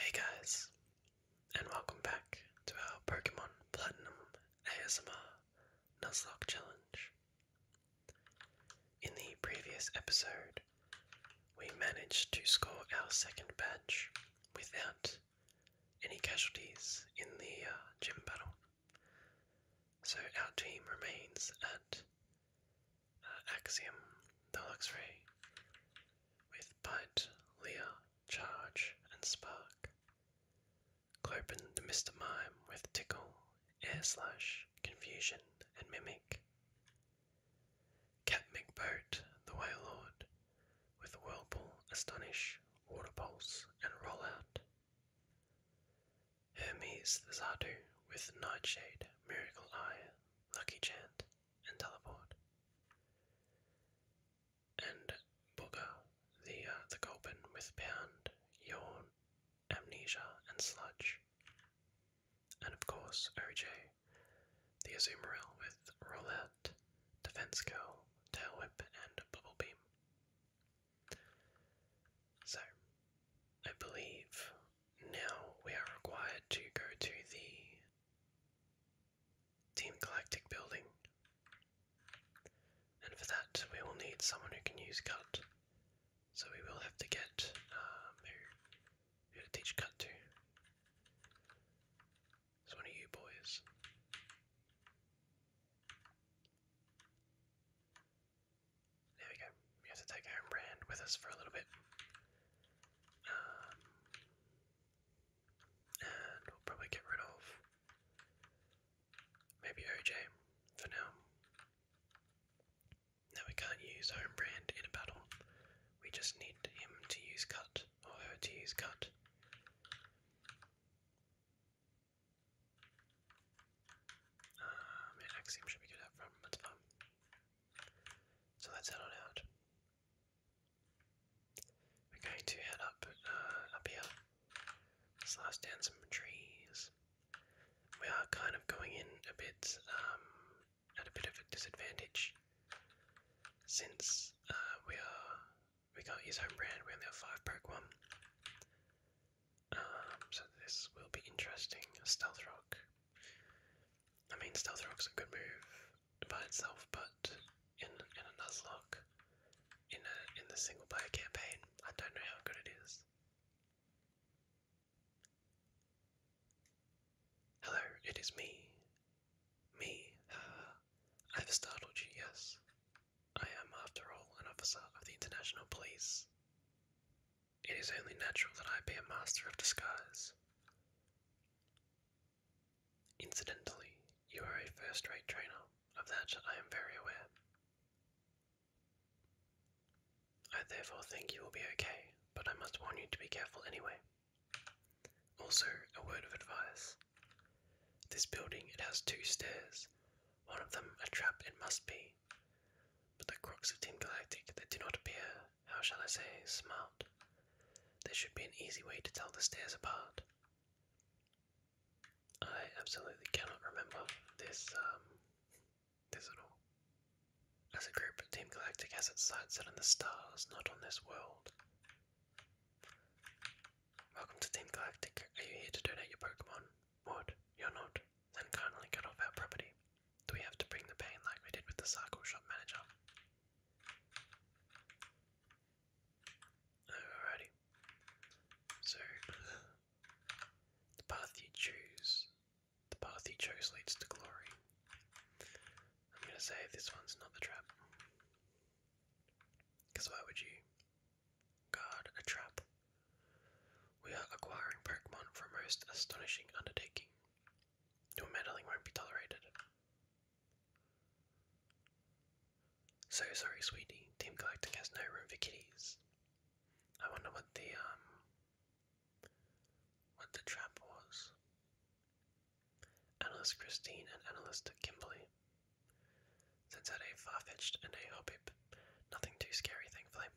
Hey guys, and welcome back to our Pokemon Platinum ASMR Nuzlocke Challenge. In the previous episode, we managed to score our second badge without any casualties in the uh, gym battle. So our team remains at uh, Axiom, the Luxray, with Bite, Leah, Charge, and Spark. Clopen the Mr. Mime with Tickle, Air Slash, Confusion, and Mimic. Catmic boat, the Waylord, with whirlpool, astonish, water pulse, and roll out. Hermes the Zadu, with Nightshade, Miracle Eye, Lucky Chant, and Teleport. And Booger, the uh, the Gulpin with Pound, Yawn, Amnesia, and Sludge and of course OJ, the Azumarill with Roulette, Defense Curl, Tail Whip, and Bubble Beam. So, I believe now we are required to go to the Team Galactic building, and for that we will need someone who can use Cut. So we will have to get um who, who to teach cut It's one of you boys. There we go. We have to take our brand with us for a little bit. Um, and we'll probably get rid of maybe OJ for now. Now we can't use home brand in a battle. We just need him to use cut or her to use cut. Um, yeah, Axiom should be good out from, that's fun. So let's head on out. We're going to head up, uh, up here, slash down some trees. We are kind of going in a bit, um, at a bit of a disadvantage since uh, we are we can't use brand. We only have five broke one. Um, so this will be interesting. Stealth rock. I mean, stealth rock's a good move by itself, but in in a nuzlocke, in a in the single player campaign, I don't know how good it is. Hello, it is me. Me, I've startled you, yes. I am, after all, an officer of the International Police. It is only natural that I be a master of disguise. Incidentally, you are a first rate trainer, of that I am very aware. I therefore think you will be okay, but I must warn you to be careful anyway. Also, a word of advice. This building, it has two stairs. One of them a trap it must be. But the crocs of Team Galactic, they do not appear, how shall I say, smart. There should be an easy way to tell the stairs apart. I absolutely cannot remember this um, Pivotal. As a group, Team Galactic has its sights set on the stars, not on this world. Welcome to Team Galactic. Are you here to donate your Pokemon? What? You're not? Then kindly cut off our property. Do we have to bring the pain like we did with the cycle shop manager? Alrighty. So, the path you choose the path he chose leads to glory. I'm going to say this one's not the trap. why would you guard a trap? We are acquiring Pokemon for a most astonishing undertaking. Your meddling won't be tolerated. So sorry, sweetie. Team Galactic has no room for kitties. I wonder what the um what the trap was. Analyst Christine and analyst Kimberly. Since had a far fetched and a hobib, nothing too scary, thankfully.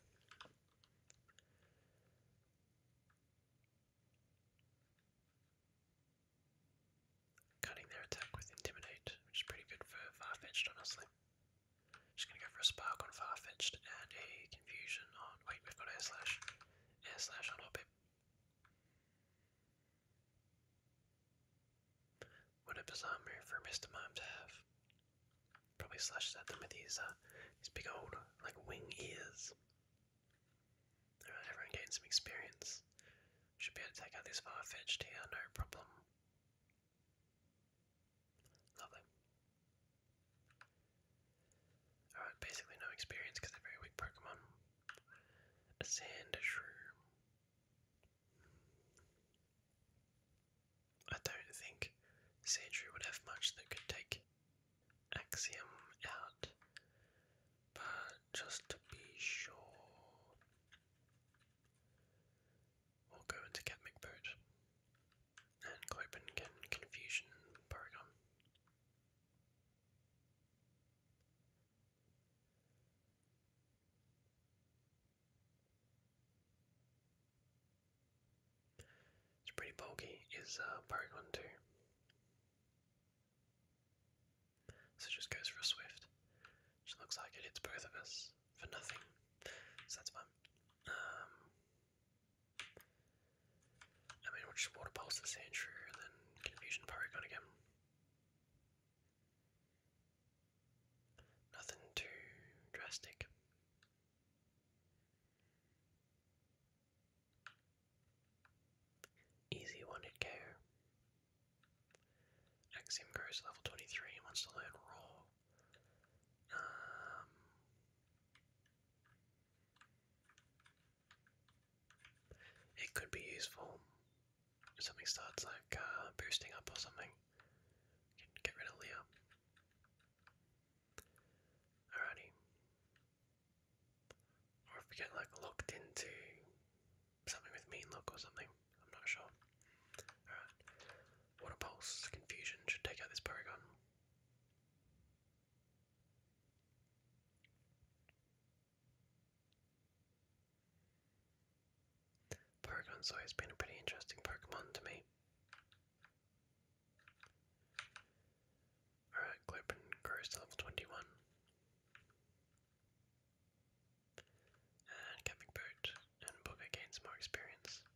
Cutting their attack with Intimidate, which is pretty good for far fetched, honestly. Just gonna go for a spark on Farfetch'd and a confusion on. Wait, we've got air slash. Air slash on Hobbit. What a bizarre move for Mr. Mime to have. Probably slashes at them with these uh, big old, like, wing ears. Alright, everyone gained some experience. Should be able to take out this Farfetch'd here, no problem. Lovely. I had basically no experience because they very weak Pokemon. A I don't think Sandshrew would have much that could take Axiom out, but just to be sure, we'll go into Cat McBoot and Clopin Confusion paragon. It's pretty bulky, is uh, Porygon too. So just goes for a Swift. Which looks like it hits both of us for nothing. So that's fun. I mean, we water pulse the sand shrew confusion Porygon again. Nothing too drastic. Easy one hit KO. Axiom goes to level 23 and wants to learn Raw. Um, it could be useful if something starts like uh, boosting up or something. get rid of Leah. Alrighty. Or if we get like locked into something with mean look or something. I'm not sure. Alright. Water pulse, confusion should take out this Porygon. Porygon's always been a pretty interesting Pokemon to me. Alright, Globin grows to level 21. And Camping and Booger gains more experience.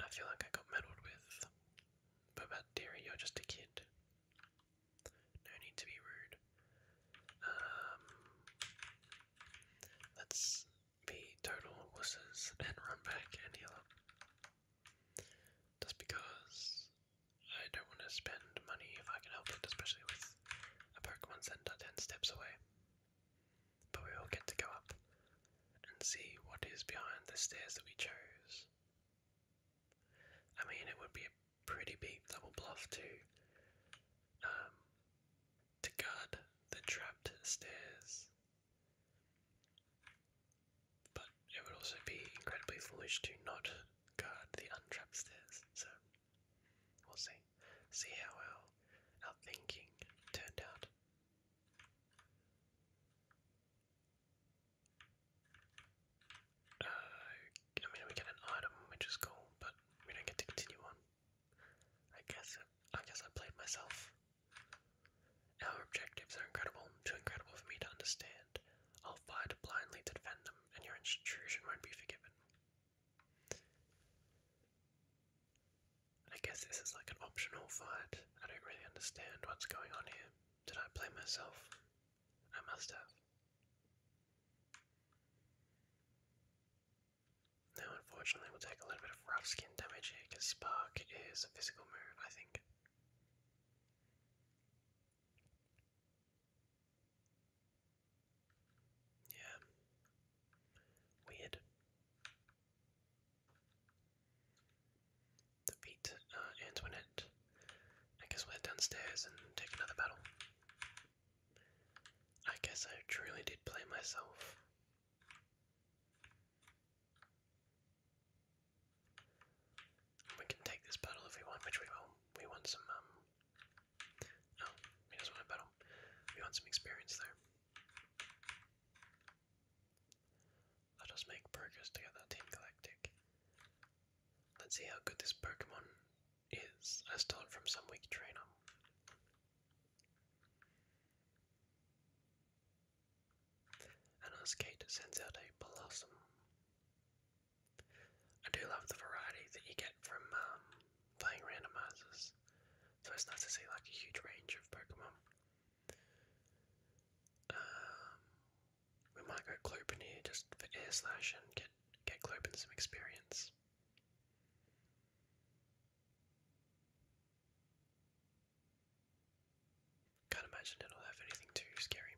I feel like I got meddled with. But about Derry, you're just a kid. No need to be rude. Um, let's be total wusses and run back and heal up. Just because I don't want to spend money if I can help it, especially with a Pokemon Center 10 steps away but we will get to go up and see what is behind the stairs that we chose. I mean, it would be a pretty big double bluff to um, to guard the trapped stairs, but it would also be incredibly foolish to not guard the untrapped stairs. So we'll see, see how our our thinking turned out. Uh, I mean, we get an item, which is cool, but we don't get to continue on. I guess I guess I played myself. Our objectives are incredible, too incredible for me to understand. I'll fight blindly to defend them, and your intrusion won't be forgiven. I guess this is like an optional fight. I don't really understand what's going on here. Did I play myself? I must have. Now, unfortunately, we'll take a little bit of rough skin damage because Spark is a physical move, I think. Yeah. Weird to beat uh, Antoinette. I guess we're downstairs and take another battle. I guess I truly did play myself. We can take this battle if we want, which we will. We want some, um. Oh, he want a battle. We want some experience, though. Let us make progress to Team Galactic. Let's see how good this Pokemon is. I stole from some weak trainer. And our skate sends out a blossom. I do love the variety that you get from um, playing randomizers, so it's nice to see like a huge range of Pokemon. Um, we might go Clopen here just for air and get get Clopen some experience. Can't imagine it'll have anything too scary.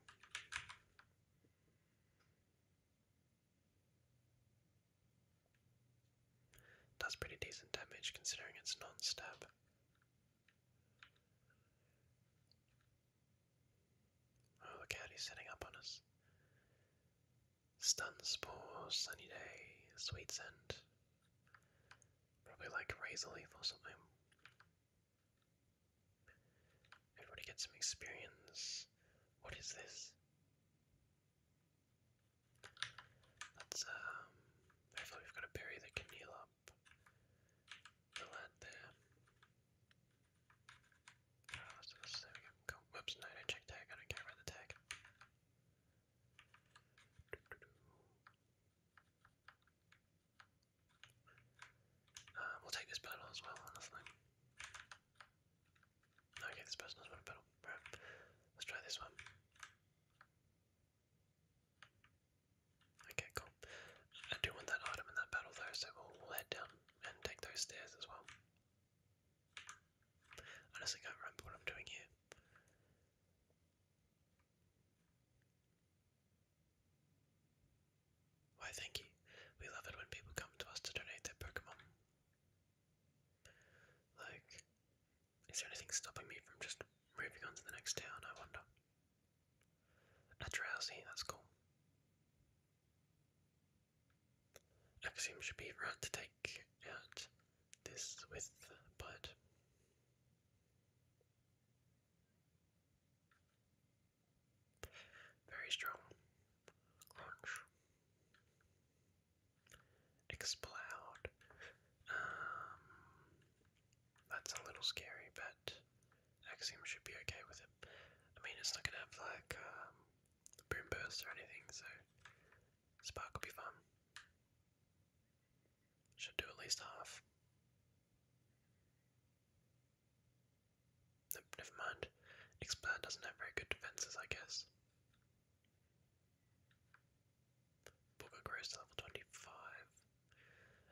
Does pretty decent damage considering it's non Oh, look out, he's setting up on us. Stun Sunny Day, Sweet Scent. Probably like Razor Leaf or something. Everybody get some experience. What is this? Let's, um, hopefully we've got a berry that can up the lad there. Ah, oh, there we go. Cool. Whoops, no, do check tag, I don't care about the tag. Um, we'll take this battle as well, Okay, this person doesn't want Let's try this one. Okay, cool. I do want that item in that battle though, so we'll, we'll head down and take those stairs as well. Honestly, can't remember what I'm doing here. Why, thank you. We love it when people come to us to donate their Pokemon. Like, is there anything stopping me from just moving on to the next town, I wonder? A drowsy, that's cool. Axiom should be right to take out this with bite. Very strong. Crunch explode. Um, that's a little scary, but Axiom should be okay with it. I mean, it's not gonna have like um, a boom burst or anything, so Spark will be fun. Should do at least half. never mind. Expand doesn't have very good defenses, I guess. Book grows to level 25.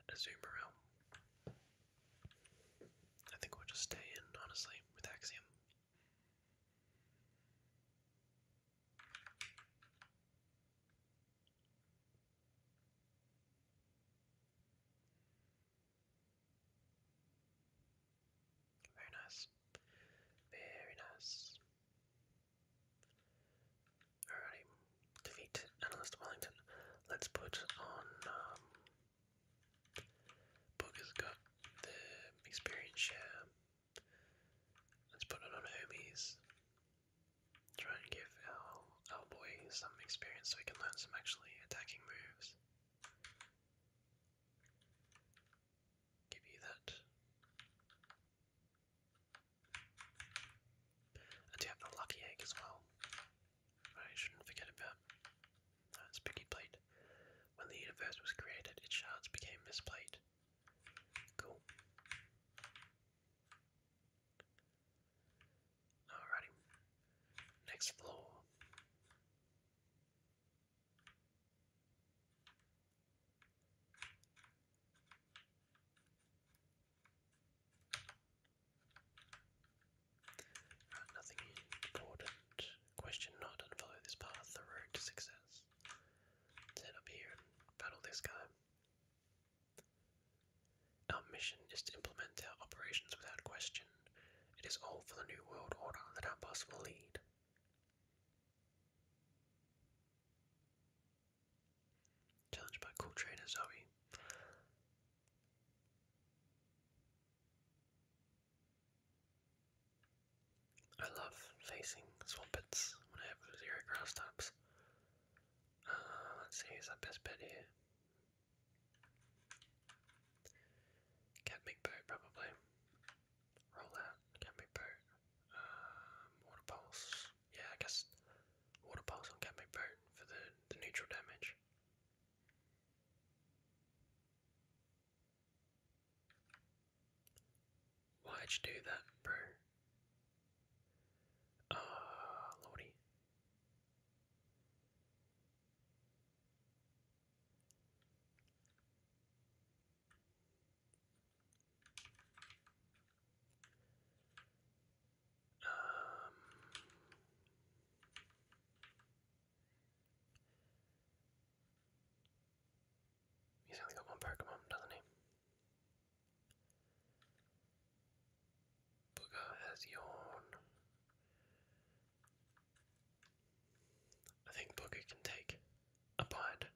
A zoom around. I think we'll just stay in, honestly, with Axiom. Very nice. Very nice. Alrighty, defeat Analyst Wellington. Let's put on. Um, has got the experience share. Let's put it on Hermes. Try and give our, our boy some experience so he can learn some actually attacking moves. Give you that. I do have the lucky egg as well. I shouldn't forget about that's Piggy Plate. When the universe was created, its shards became this plate. Cool. Alrighty. Next floor nothing important. Question not follow this path, the road to success. let up here and battle this guy. Our mission is to implement our operations without question. It is all for the new world order that our boss will lead. Challenged by cool trainer Zoe. I love facing Swampets when zero grass types. Uh, let's see, who's our best bet here? Cat McBoat, probably. Roll out, Cat uh, Water Pulse yeah, I guess water pulse on Catmate Boat for the, the neutral damage. Why'd you do that, bro? Ah, lordy he's only got one Pokemon, doesn't he? Booger has yawn. I think Booger can take a bite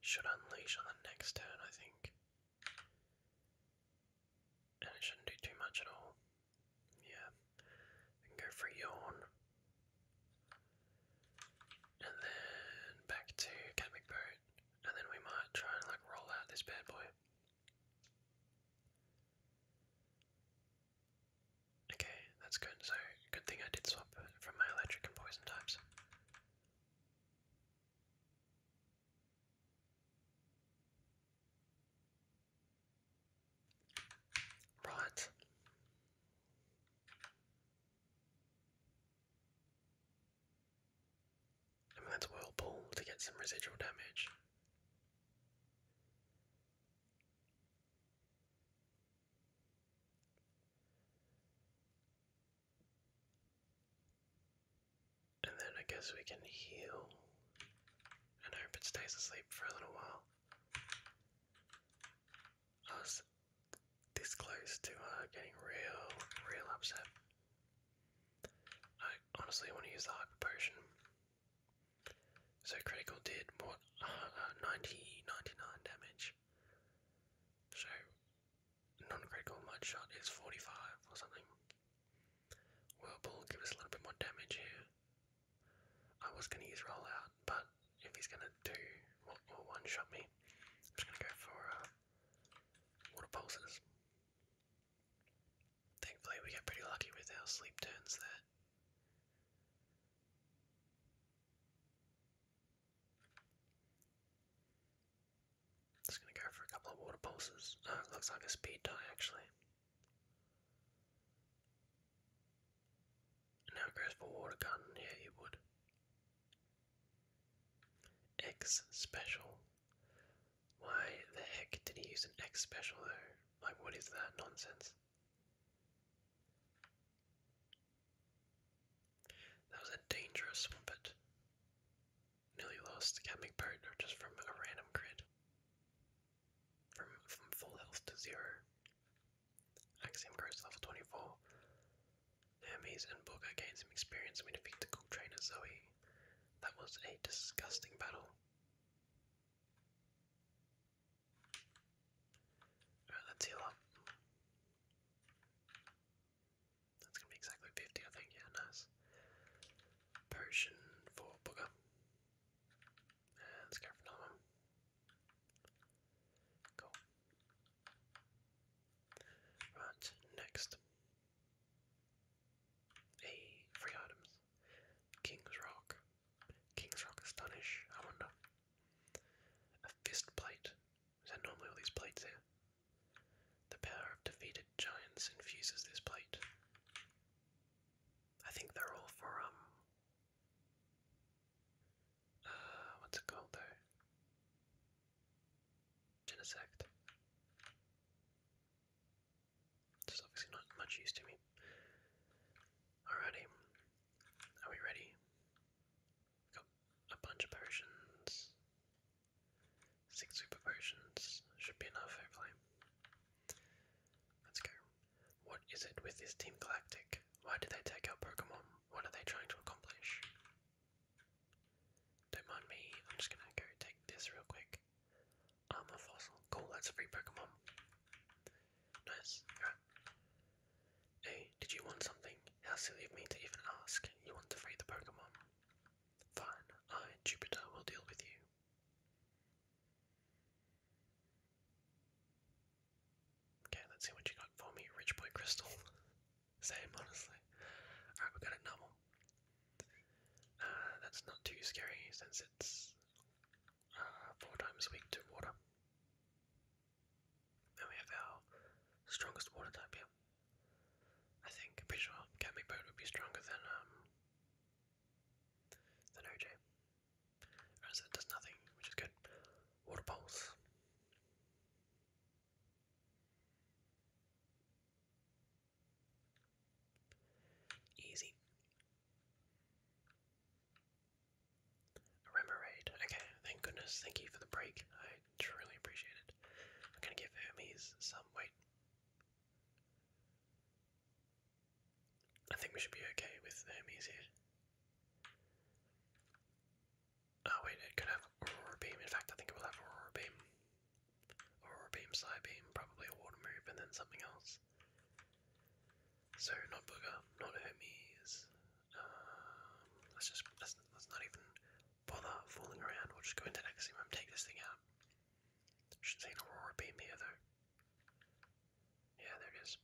should unleash on the next turn, I think. And it shouldn't do too much at all. Yeah. Then go for yawn. And then back to Catmic And then we might try and like roll out this bad boy. Okay, that's good. So, good thing I did swap from my electric and poison types. Right. let's whirlpool to get some residual damage. And then I guess we can heal and I hope it stays asleep for a little while. I oh, this close to uh, getting real, real upset. I honestly want to use the hyper potion. So critical did what uh, uh 99 damage. So non-critical mud shot is 45 or something. Whirlpool give us a little bit more damage here. I was gonna use rollout, but if he's gonna do or one shot me, I'm just gonna go for uh, water pulses. Thankfully, we got pretty lucky with our sleep turns there. Just gonna go for a couple of water pulses. Oh, looks like a speed die actually. Now it goes for water gun, yeah you would. X special. Why the heck did he use an X special though? Like what is that nonsense? That was a dangerous swimpet. Nearly lost Cadmic Partner just from a random crit. From from full health to zero. Axiom level 24. Hermes and Booker gain some experience and the cool trainer Zoe. That was a disgusting battle. Alright, let's heal up. That's gonna be exactly 50, I think, yeah, nice. Potion for Booger. let's go for another one. Cool. Right, next. A free items. King's Rock. King's Rock Astonish, I wonder. A fist plate. Is that normally all these plates here? The power of defeated giants infuses this plate. I think they're all for, um. Uh, what's it called though? Genesect. This is obviously not much use to me. Alrighty. Are we ready? got a bunch of potions. Six super potions. Should be enough, hopefully. Let's go. What is it with this Team Galactic? Why did they take out Pokemon? What are they trying to accomplish? Don't mind me, I'm just gonna go take this real quick i fossil. Cool, that's a free Pokemon. Nice. Hey, did you want something? How silly of me to even ask. You want to free the Pokemon? Fine, I, Jupiter, will deal with you. Okay, let's see what you got for me, Rich Boy Crystal. Same, honestly. Alright, we got a Numble. Uh, that's not too scary since it's uh, four times a week to water. Then we have our strongest water type here. I think, pretty sure Catmate Boat would be stronger than, um, than OJ. Whereas it does nothing, which is good. Water Pulse. Easy. A Remoraid. Okay, thank goodness. Thank you for the break. I truly appreciate it. I'm gonna give Hermes some. weight. I think we should be okay with Hermes here. Oh, wait, it could have Aurora Beam. In fact, I think it will have Aurora Beam. Aurora Beam, Psy Beam, probably a water move, and then something else. So not Booger, not Hermes. Um, let's just let's, let's not even bother fooling around. We'll just go into Axiom, take this thing out. Should see an Aurora beam here though. Yeah, there it is.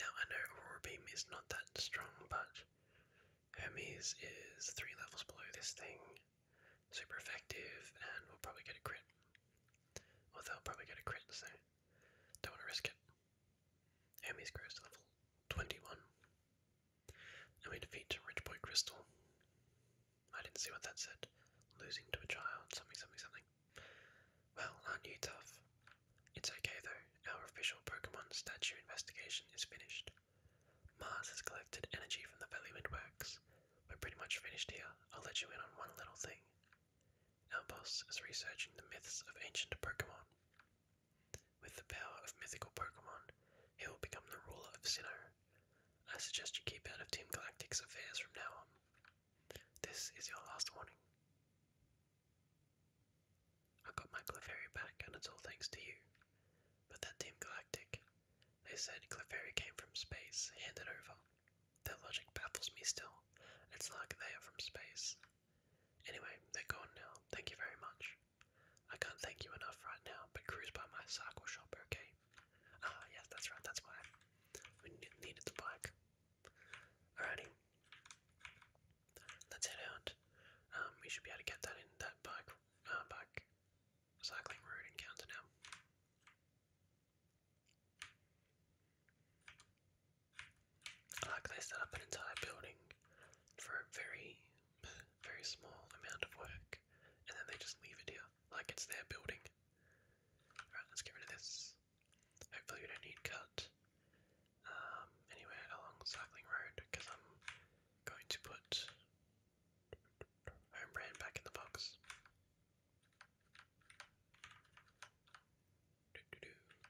Now I know Aurora beam is not that strong, but Hermes is three levels below this thing, super effective, and we'll probably get a crit. Or well, they'll probably get a crit, so don't want to risk it. Hermes grows to level 21. And we defeat Rich Boy Crystal. I didn't see what that said. Losing to a child, something, something, something. Well, aren't you tough? It's okay though, our official Pokemon statue investigation is finished. Mars has collected energy from the Valley Windworks. We're pretty much finished here. I'll let you in on one little thing. Our boss is researching the myths of ancient Pokemon. With the power of mythical Pokemon, he will become the ruler of Sinnoh. I suggest you keep out of Team Galactic's affairs from now on. This is your last warning. I got my Clefairy back, and it's all thanks to you. But that Team Galactic, they said Clefairy came from space, hand it over. Their logic baffles me still. It's like they are from space. Anyway, they're gone now. Thank you very much. I can't thank you enough right now, but cruise by my cycle shop, okay? Ah, yes, that's right, that's why. We needed the bike. Alrighty. Let's head out. Um, we should be able to get that in that bike uh, back cycling road encounter now. like they set up an entire building for a very, very small amount of work, and then they just leave it here, like it's their building. Alright, let's get rid of this. Hopefully we don't need cut um, anywhere along cycling road, because I'm going to put home back in the box.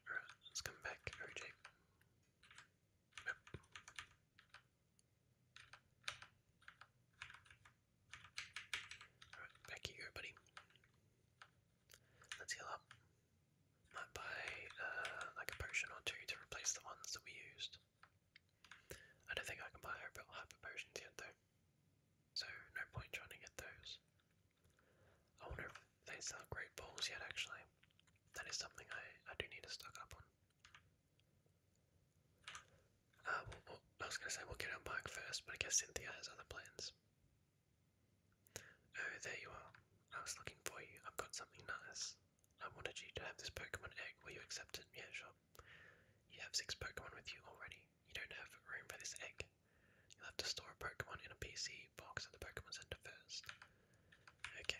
All right, let's come back, OJ. Nope. Alright, back you buddy. Let's heal up. Might buy uh, like a potion or two to replace the ones that we used. I don't think I can buy her hyper potions yet though, so no point trying to get those. I wonder if they sell great balls yet actually. That is something I, I do need to stock up on. Uh, we I was going to say we'll get on back first, but I guess Cynthia has other plans. Oh, there you are. I was looking for you. I've got something nice. I wanted you to have this Pokemon egg. Will you accepted? it? Yeah, sure. You have six Pokemon with you already. You don't have room for this egg. You'll have to store a Pokemon in a PC box at the Pokemon Center first. Okay.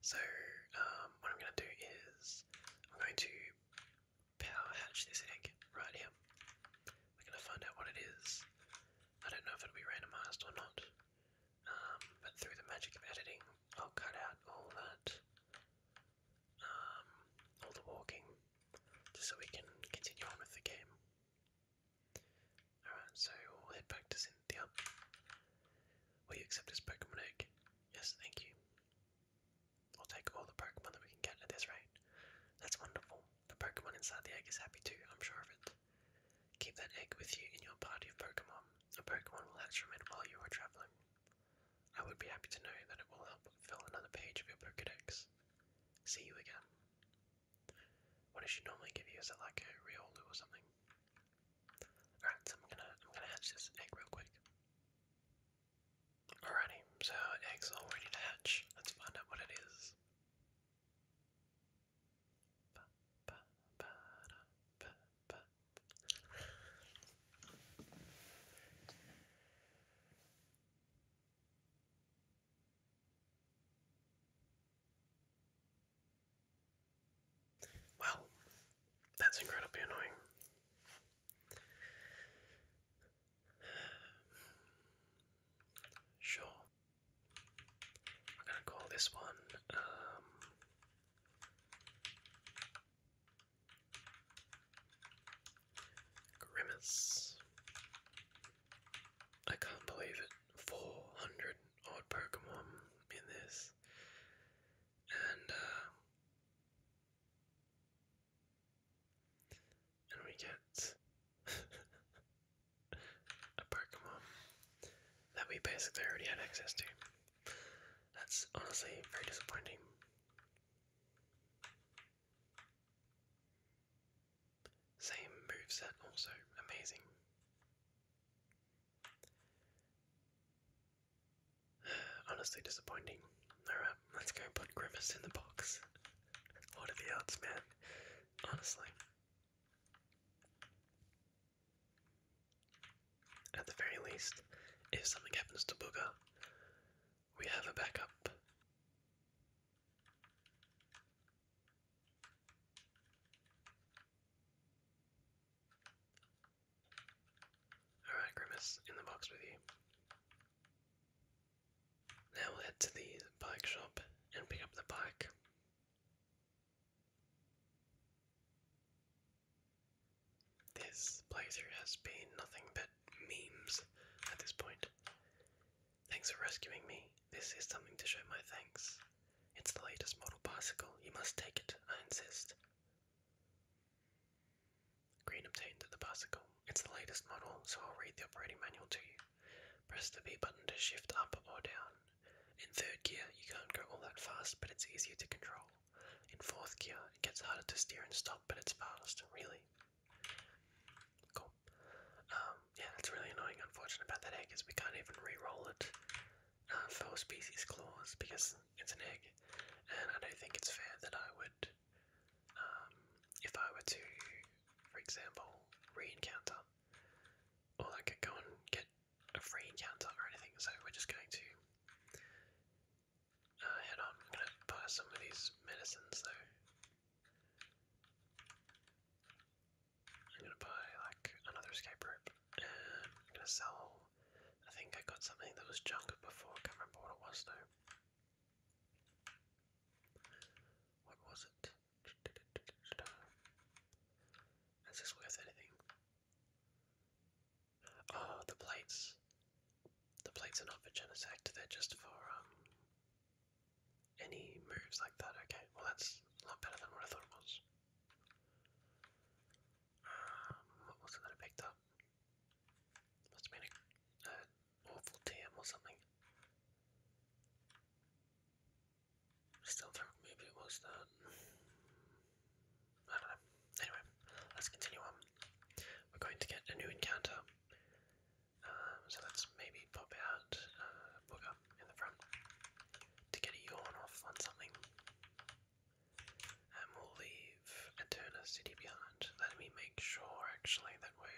So, um, what I'm going to do is I'm going to power hatch this egg right here. We're going to find out what it is. I don't know if it'll be randomized or not. Um, but through the magic of editing, I'll cut out all that, um, all the walking, just so we can continue on with the game. Alright, so we'll head back to Cynthia. Will you accept this Pokemon egg? Yes, thank you. I'll take all the Pokemon that we can get at this rate. That's wonderful. The Pokemon inside the egg is happy too, I'm sure of it. Keep that egg with you in your party of Pokemon. A Pokemon will hatch from it while you are traveling. I would be happy to know that it will help fill another page of your Pokémon Dex. See you again. What does she normally give you? Is it like a Riolu or something? Alright, so I'm gonna I'm gonna hatch this egg real quick. Alrighty, so egg's all ready to hatch. Let's find out what it is. Well, that's incredibly annoying. Sure, I'm gonna call this one um, Grimace. I can't believe it. 400 odd Pokemon in this. And, uh, and we get a Pokemon that we basically already had access to. That's honestly very disappointing. Same moveset, also amazing. honestly disappointing. Alright, let's go put Grimace in the box. What are the odds, man? Honestly. At the very least, if something happens to Booger, we have a backup. Alright, Grimace, in the box with you. Now we'll head to the bike shop and pick up the bike. This playthrough has been nothing but memes at this point. Thanks for rescuing me. This is something to show my thanks. It's the latest model bicycle. You must take it, I insist. Green obtained the bicycle. It's the latest model, so I'll read the operating manual to you. Press the B button to shift up or down. In third gear, you can't go all that fast, but it's easier to control. In fourth gear, it gets harder to steer and stop, but it's fast, really. Cool. Um, yeah, that's really annoying, unfortunate about that egg, is we can't even re-roll it uh, for species claws, because it's an egg, and I don't think it's fair that I would, um, if I were to, for example, re-encounter, or I could go get a free encounter or anything, so we're just going to uh, head on. I'm going to buy some of these medicines though. I'm going to buy like another escape rope and I'm going to sell. I think I got something that was junk before, can't remember what it was though. What was it? Is this worth anything? Oh, the plates. The plates are not for Genesect, they're just for um any moves like that. Okay, well that's a lot better than what I thought it was. Um, what was it I picked up? Must have been an awful or something still maybe it was that. I don't know. Anyway, let's continue on. We're going to get a new encounter. Um, so let's maybe pop out uh, Booger in the front to get a yawn off on something. And we'll leave Eterna City behind. Let me make sure actually that we're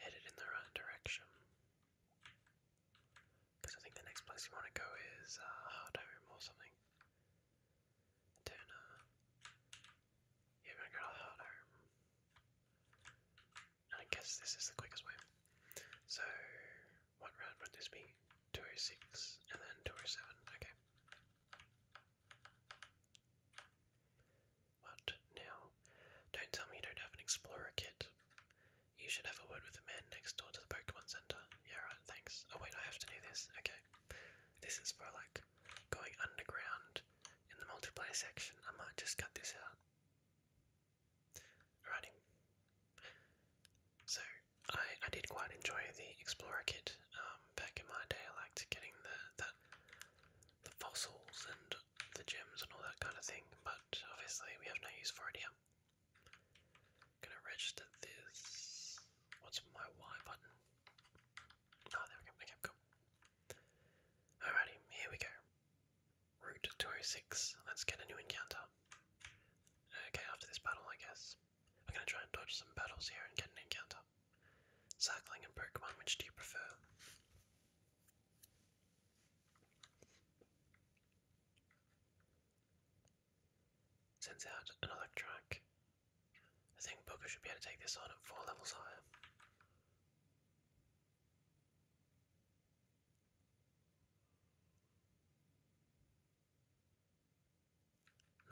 headed in the right direction. Because I think the next place you want to go is uh, or something. I don't know. Uh, yeah, we're gonna go And I guess this is the quickest way. So, one round would this be? Two or oh six, and then 207. Okay. What now? Don't tell me you don't have an explorer kit. You should have a word with the man next door to the Pokemon Center. Yeah, right, thanks. Oh, wait, I have to do this. Okay. This is for like going underground in the multiplayer section. I might just cut this out. Alrighty. So, I, I did quite enjoy the Explorer kit um, back in my day. I liked getting the, that, the fossils and the gems and all that kind of thing, but obviously we have no use for it here. Gonna register this. What's my Y button? Oh, there we go. Okay, cool. Alrighty, here we go. Route 206. Let's get a new encounter. Okay, after this battle, I guess. We're gonna try and dodge some battles here and get an encounter. Cycling and Pokemon, which do you prefer? Sends out an electronic. I think Booker should be able to take this on at four levels higher.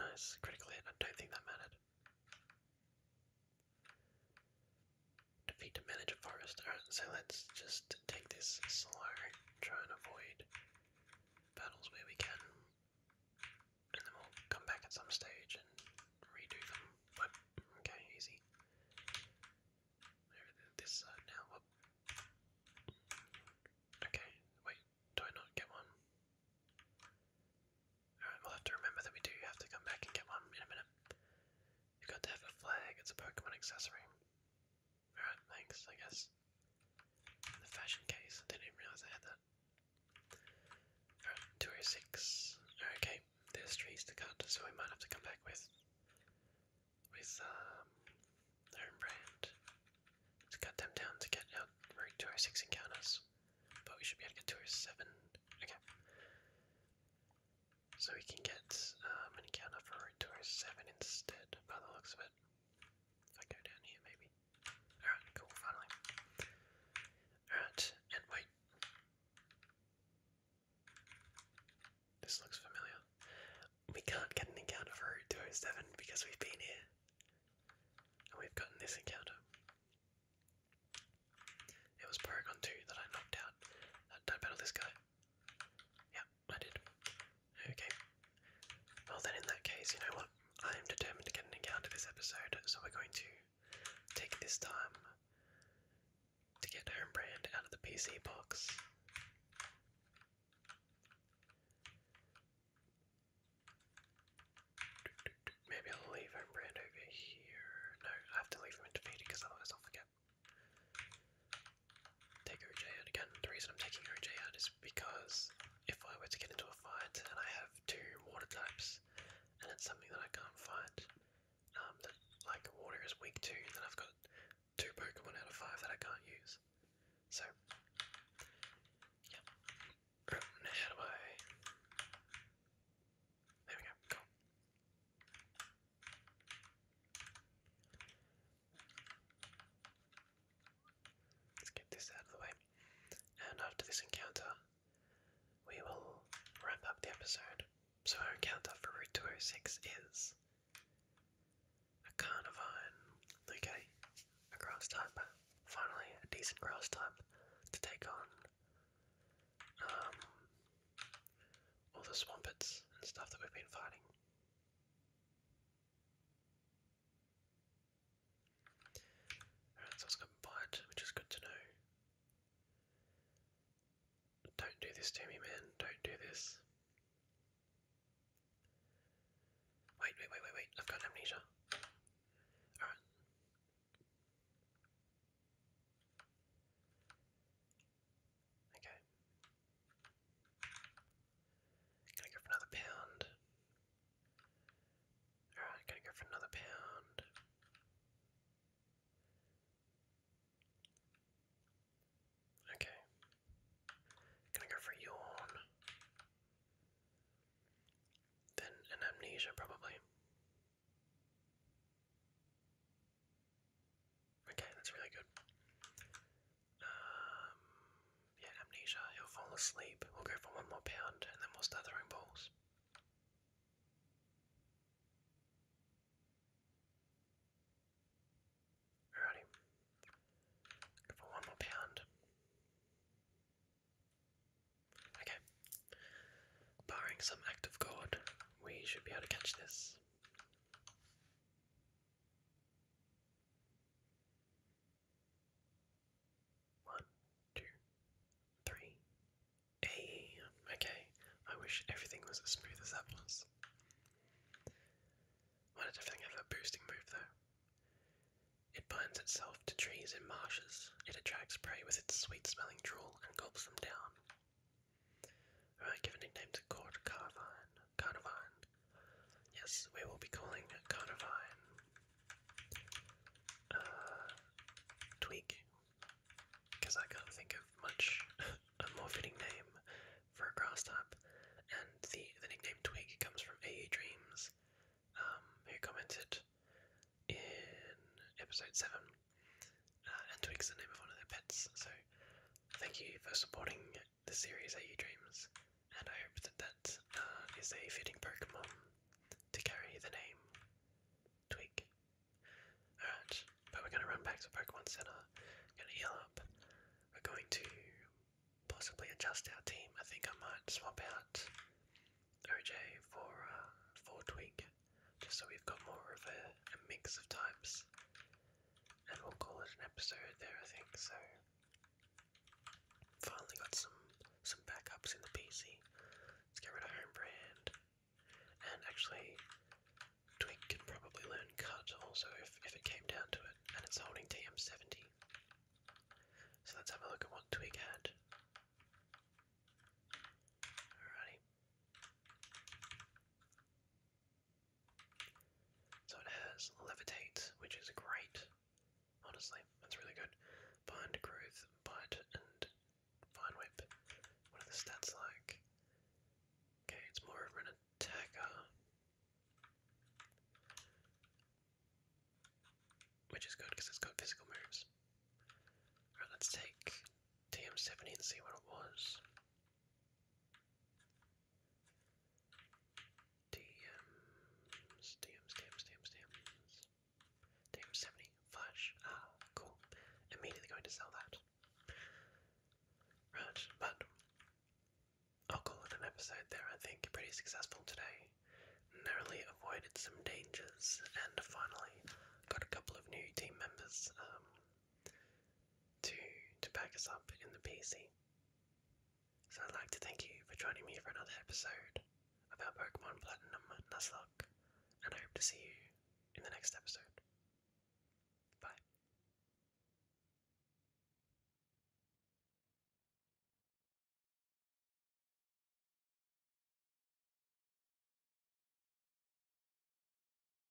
Nice, critical hit. I don't think that mattered defeat the manager forest. so let's just take this slow, try and avoid battles where we can. And then we'll come back at some stage and redo them. Okay, easy. This now. Okay, wait, do I not get one? Alright, we'll have to remember that we do have to come back and get one in a minute. You've got to have a flag, it's a Pokemon accessory. We're I guess. the fashion case, I didn't realise I had that. We're at 206. Okay, there's trees to cut, so we might have to come back with with um home to cut them down to get out route 206 encounters. But we should be able to get 207. Okay. So he can get um, an encounter for a Toro 7 instead, by the looks of it. If I go down here, maybe. Alright, cool, finally. Alright, and wait. This looks familiar. We can't get an encounter for Route 207 because we've been here. And we've gotten this encounter. It was Paragon 2 that I knocked out. Don't battle this guy. Yep, I did. Okay. Well then in that case, you know what? I am determined to get an encounter this episode, so we're going to take this time to get Homebrand out of the PC box. Maybe I'll leave Homebrand over here. No, I have to leave him in defeated because otherwise I'll forget. Take OJ out again. The reason I'm taking OJ out is because if I were to get into a fight and I have two water types and it's something that I can't fight, um, that like water is weak to, then I've got two Pokemon out of five that I can't use. So, yeah. How do There we go, Let's get this out of the way. And after this encounter, we will wrap up the episode. So, our encounter for Route 206 is a Carnivine. Okay, a grass type. Finally, a decent grass type to take on. Um, all the swampets and stuff that we've been fighting. Alright, so it's got bite, which is good to know. Don't do this to me, man. Don't do this. Wait, wait, wait, wait, wait. I've got amnesia. Alright. Okay. Gonna go for another pound. Alright, gonna go for another pound. Okay. Gonna go for yawn. Then an amnesia, probably. Okay, that's really good. Um, yeah, amnesia. He'll fall asleep. We'll go for one more pound, and then we'll start throwing balls. Alrighty. for one more pound. Okay. Barring some act of God, we should be able to catch this. One, two, three. Hey, okay. I wish everything was as smooth as that was. Why did everything have a boosting move though? It binds itself to trees and marshes. It attracts prey with its sweet smelling drool and gulps them down. Alright, give a nickname to Court Carnivine. Carnivine. Yes, we will be calling Carnivine. Uh, Tweak. Because I can't think of much a more fitting name for a grass type. And the, the nickname Twig comes from AE Dreams, um, who commented in episode 7 uh, and Twig's the name of one of their pets. So thank you for supporting the series AU Dreams, and I hope that that uh, is a fitting Pokemon to carry the name Twig. Alright, but we're going to run back to Pokemon Center, going to heal up. We're going to possibly adjust our team. I think I might swap out OJ for uh, for Twig, just so we've got more of a mix of types and we'll call it an episode there, I think. So, finally got some some backups in the PC. Let's get rid of home and actually, Twig can probably learn cut also if if it came down to it, and it's holding TM70. So let's have a look at what Twig had. Alrighty. So it has Levitate, which is great. Honestly, that's really good. Bind Growth, Bite, and Vine Whip. What are the stats like? Okay, it's more of an attacker. Which is good because it's got physical moves. Alright, let's take TM70 and see what it was. DMs, DMs, DMs, DMs, DMs. DM 70, flash. Ah, cool. Immediately going to sell that. Right, but I'll call it an episode there, I think. Pretty successful today. Narrowly avoided some dangers, and finally got a couple of new team members. Um, to to back us up in the PC. So I'd like to thank you for joining me for another episode of our Pokemon Platinum Nuzlocke, and I hope to see you in the next episode. Bye.